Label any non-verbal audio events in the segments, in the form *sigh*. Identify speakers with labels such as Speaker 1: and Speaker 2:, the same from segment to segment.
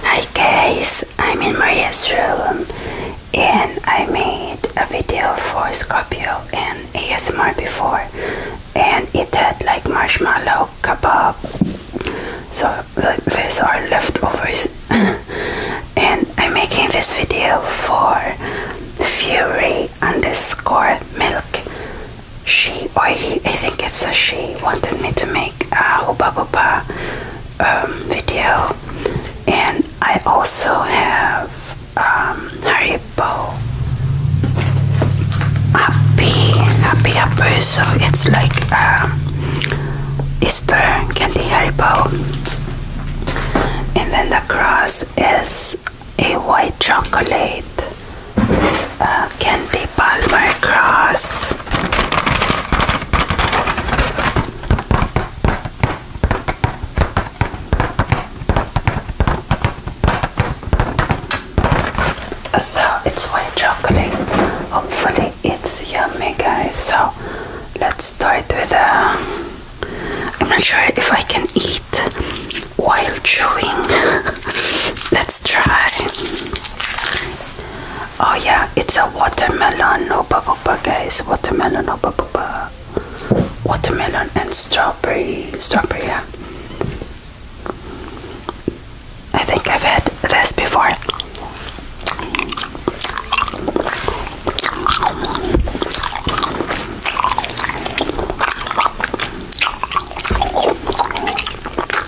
Speaker 1: Hi guys, I'm in Maria's room and I made a video for Scorpio and ASMR before and it had like marshmallow kebab so these are leftovers *laughs* and I'm making this video for Fury underscore milk she or he, I think it's a she wanted me to make a uh, um, video, and I also have um, Haribo Happy Happy Happy. So it's like um, Easter candy Haribo, and then the cross is a white chocolate uh, candy Palmer cross. So it's white chocolate. Hopefully it's yummy guys. So let's start with a uh, I'm not sure if I can eat while chewing. *laughs* let's try. Oh yeah, it's a watermelon hoopa hoopa guys. Watermelon hoopa hoopa. Watermelon and strawberry. Strawberry, yeah. I think I've had this before.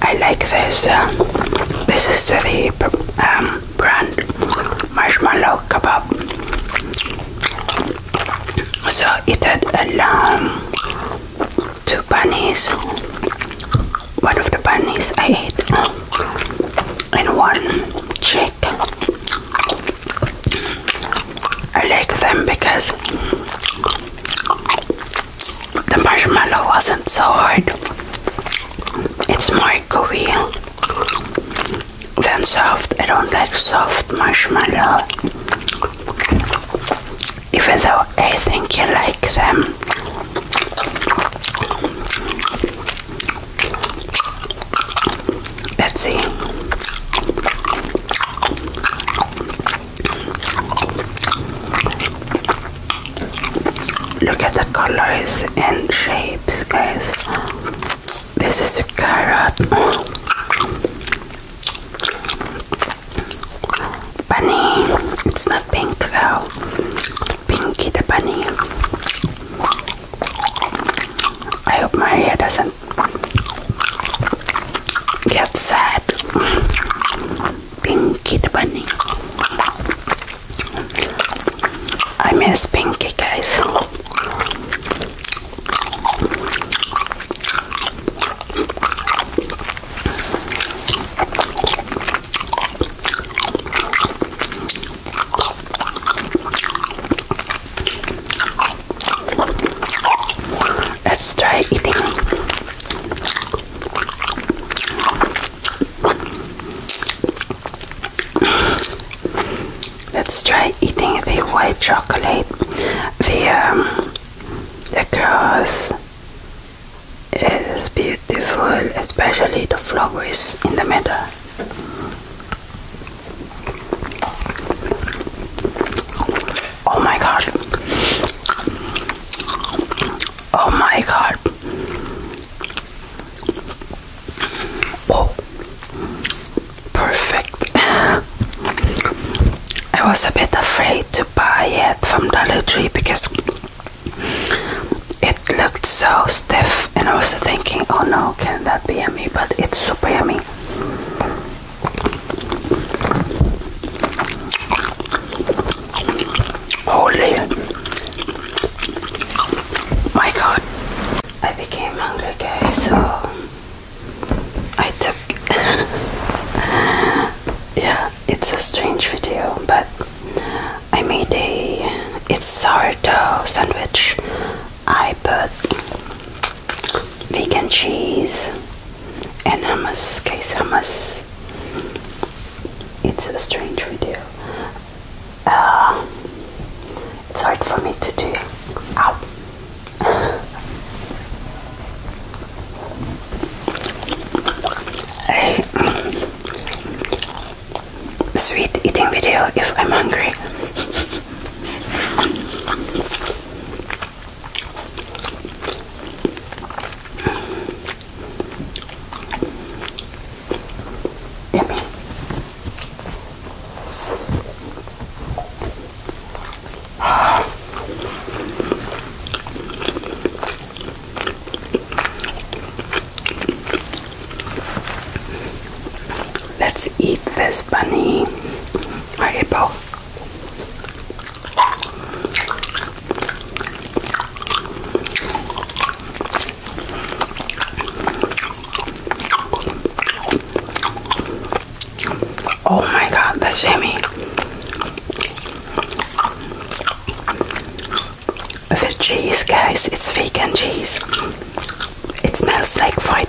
Speaker 1: I like this. Uh, this is the um, brand marshmallow kebab. So it had a lamb, two bunnies, one of the bunnies I ate, and one chick. I like them because the marshmallow wasn't so hard. It's more gooey than soft. I don't like soft marshmallow. Even though I think you like them. let Look at the colors and shapes, guys. This is a carrot. Bunny. It's not pink though. Pinky the bunny. I hope my hair doesn't get sad. Pinky the Bunny. I miss Pinky, guys. Let's try eating Let's try eating the white chocolate. The um, the cross is beautiful, especially the flowers in the middle. Oh my god. Oh my god. Oh, perfect. I was a bit afraid to buy it from Dollar Tree because it looked so stiff, and I was thinking, oh no, can that be yummy? But it's super yummy. Holy. My god. I became hungry, guys, so I took. *laughs* yeah, it's a strange video, but I made a. It's sourdough sandwich. I put vegan cheese and hummus, case hummus. It's a strange video. Uh, it's hard for me to do. Ow. a *laughs* sweet eating video if I'm hungry. Yummy. Let's eat this bunny hippo. Oh my god, that's yummy. The cheese, guys, it's vegan cheese. It smells like white.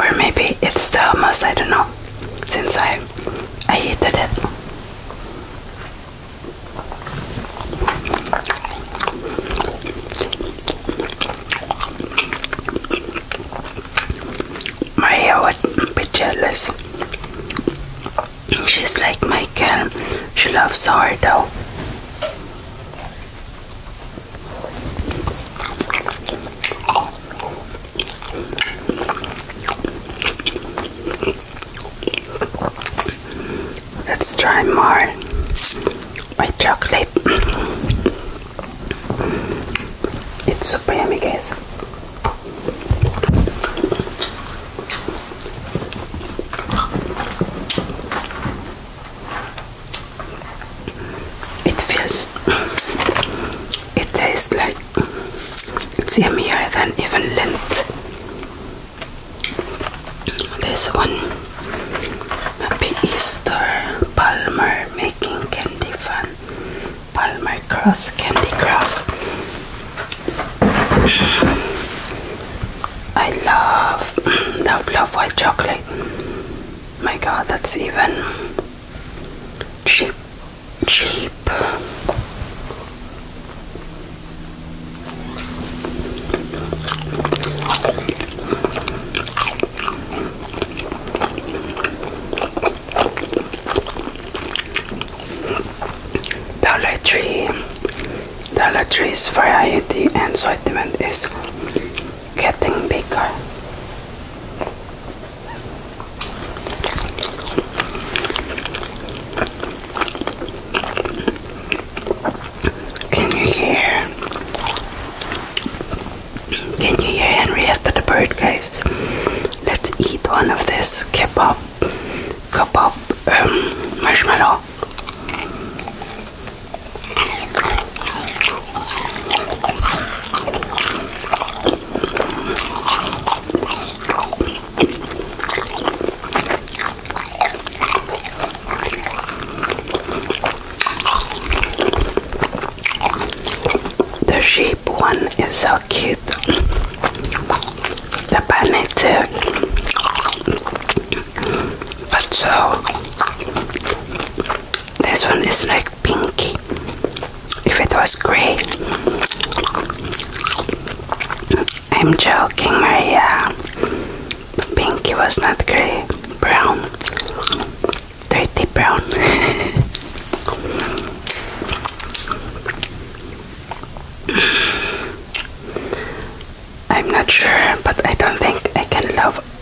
Speaker 1: Or maybe it's the most I don't know. Since I I heated it. Maria would be jealous. She's like Michael. She loves sourdough. Let's try more white chocolate. It's super yummy, guys. It feels, it tastes like it's yummier than even lint. This one, Happy Easter Palmer making candy fun. Palmer Cross Candy Cross. I love *clears throat* love love white chocolate my god, that's even cheap, cheap. Dollar Tree, Dollar Tree's variety and assortment is getting bigger. Can you hear? Can you hear Henrietta the bird, guys? Let's eat one of this kebab, kebab um, marshmallow. The sheep one is so cute. The bunny too. But so this one is like pinky. If it was gray. I'm joking, Maria. Pinky was not gray. Brown. Dirty brown. *laughs* I'm not sure, but I don't think I can love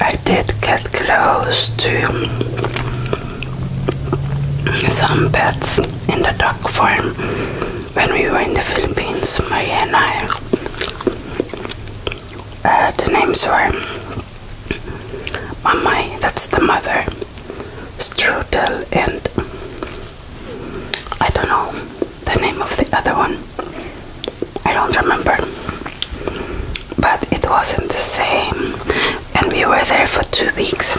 Speaker 1: I did get close to some pets in the dog farm when we were in the Philippines, Maria and I. Uh, the names were Mamai, that's the mother, Strudel, and I don't know the name of the other one. I don't remember, but it wasn't the same, and we were there for two weeks.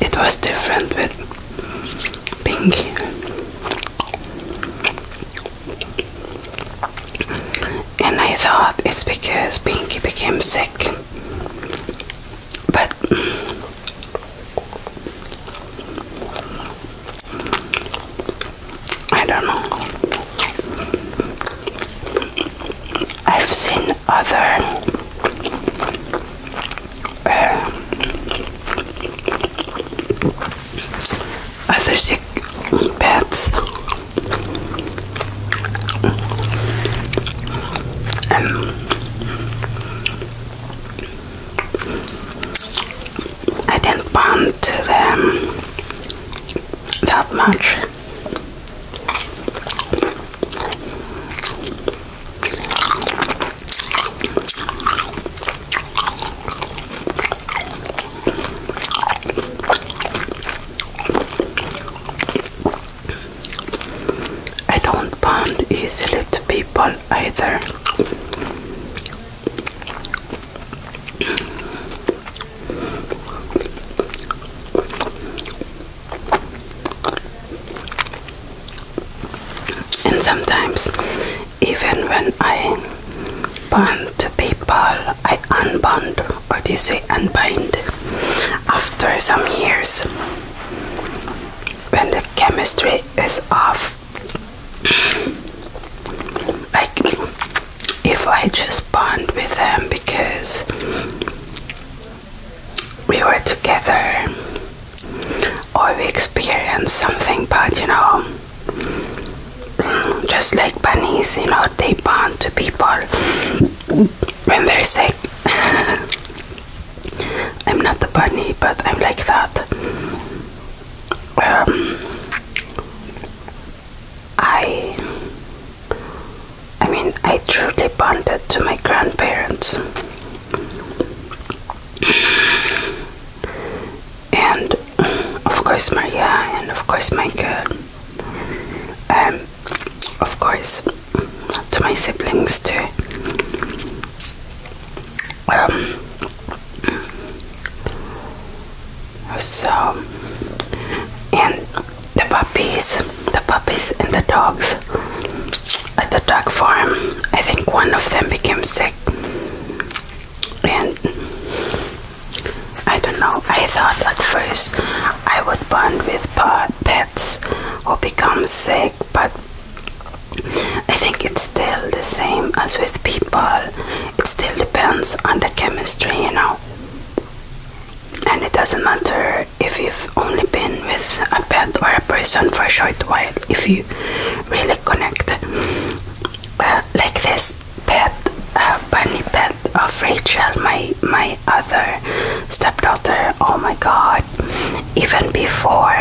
Speaker 1: It was different with Pinky, And I thought it's because Pinky became sick, but I don't know. I've seen other um, other sick pets and I didn't bond to them that much. I don't bond easily to people either. And sometimes, even when I bond to people, I unbind. or do you say unbind, after some years when the chemistry is off. like, if I just bond with them because we were together or we experienced something, but you know, mm, just like bunnies, you know, they bond to people when they're sick. *laughs* I'm not the bunny, but I'm like that. Um, I I mean, I truly bonded to my grandparents. And of course, Maria, and of course, Michael. Um, of course, to my siblings too. Um, so, and the puppies, the puppies and the dogs at the dog farm. I think one of them became sick, and I don't know. I thought at first I would bond with pets who become sick, but I think it's still the same as with people. It still depends on the chemistry, you know. And it doesn't matter if you've only been with a pet or a person for a short while, if you really connect. Uh, like this pet, uh, bunny pet of Rachel, my my other stepdaughter. Oh my God! Even before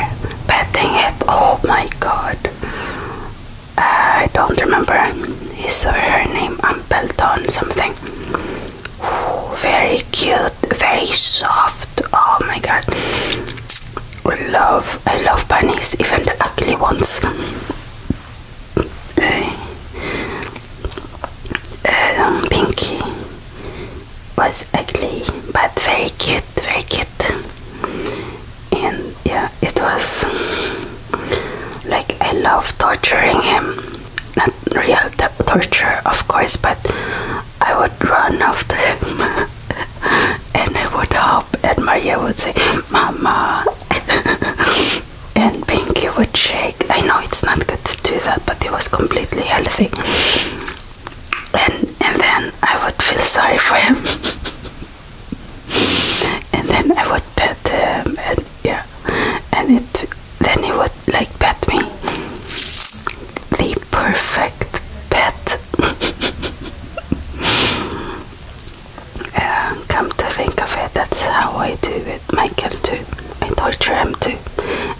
Speaker 1: petting it, oh my God! Uh, I don't remember his or her name. Ampleton something very cute, very soft. Oh my god. I love I love bunnies, even the ugly ones. Eh, um, Pinky was ugly but very cute, very cute. And yeah, it was like I love torturing him real torture, of course, but I would run after him *laughs* and I would hop, and Maria would say, Mama, *laughs* and Pinky would shake. I know it's not good to do that, but it was completely healthy. And, and then I would feel sorry for him, *laughs* and then I would pet him, and yeah, and it then he would like pet me. The perfect pet. uh, *laughs* come to think of it, that's how I do with Michael too. I torture him too,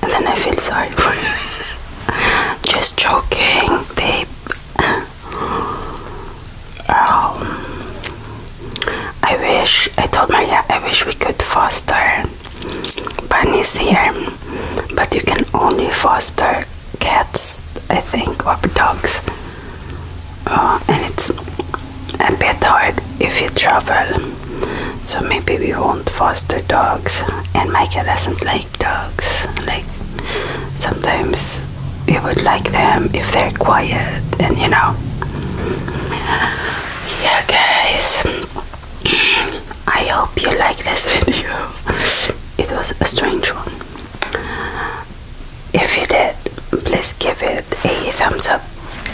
Speaker 1: and then I feel sorry for him. *laughs* Just joking, babe. *laughs* um, I wish, I told Maria, I wish we could foster Bunny's here, but you can only foster cats, I think, or dogs. Uh, and it's a bit hard if you travel, so maybe we won't foster dogs. And Michael doesn't like dogs, like sometimes he would like them if they're quiet and you know yeah guys I hope you like this *laughs* video it was a strange one if you did please give it a thumbs up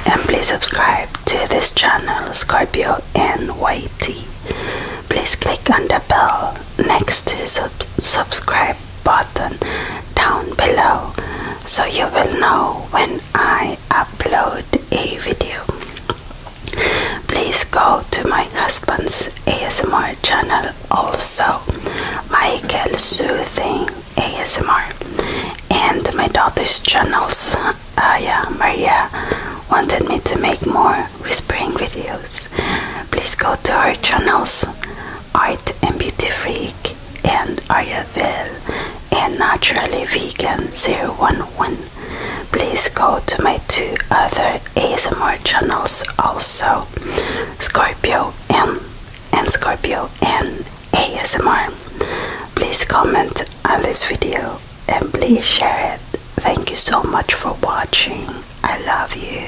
Speaker 1: and please subscribe to this channel Scorpio NYT please click on the bell next to sub subscribe button down below so you will know when I upload a video. Please go to my husband's ASMR channel also, Michael Soothing ASMR, and my daughter's channels, Aya ah, Maria wanted me to make more whispering videos. Please go to her channels, Art and Beauty Freak and Ayurveda and Naturally Vegan 011. Please go to my two other ASMR channels also, Scorpio and, and Scorpio and ASMR. Please comment on this video and please share it. Thank you so much for watching. I love you.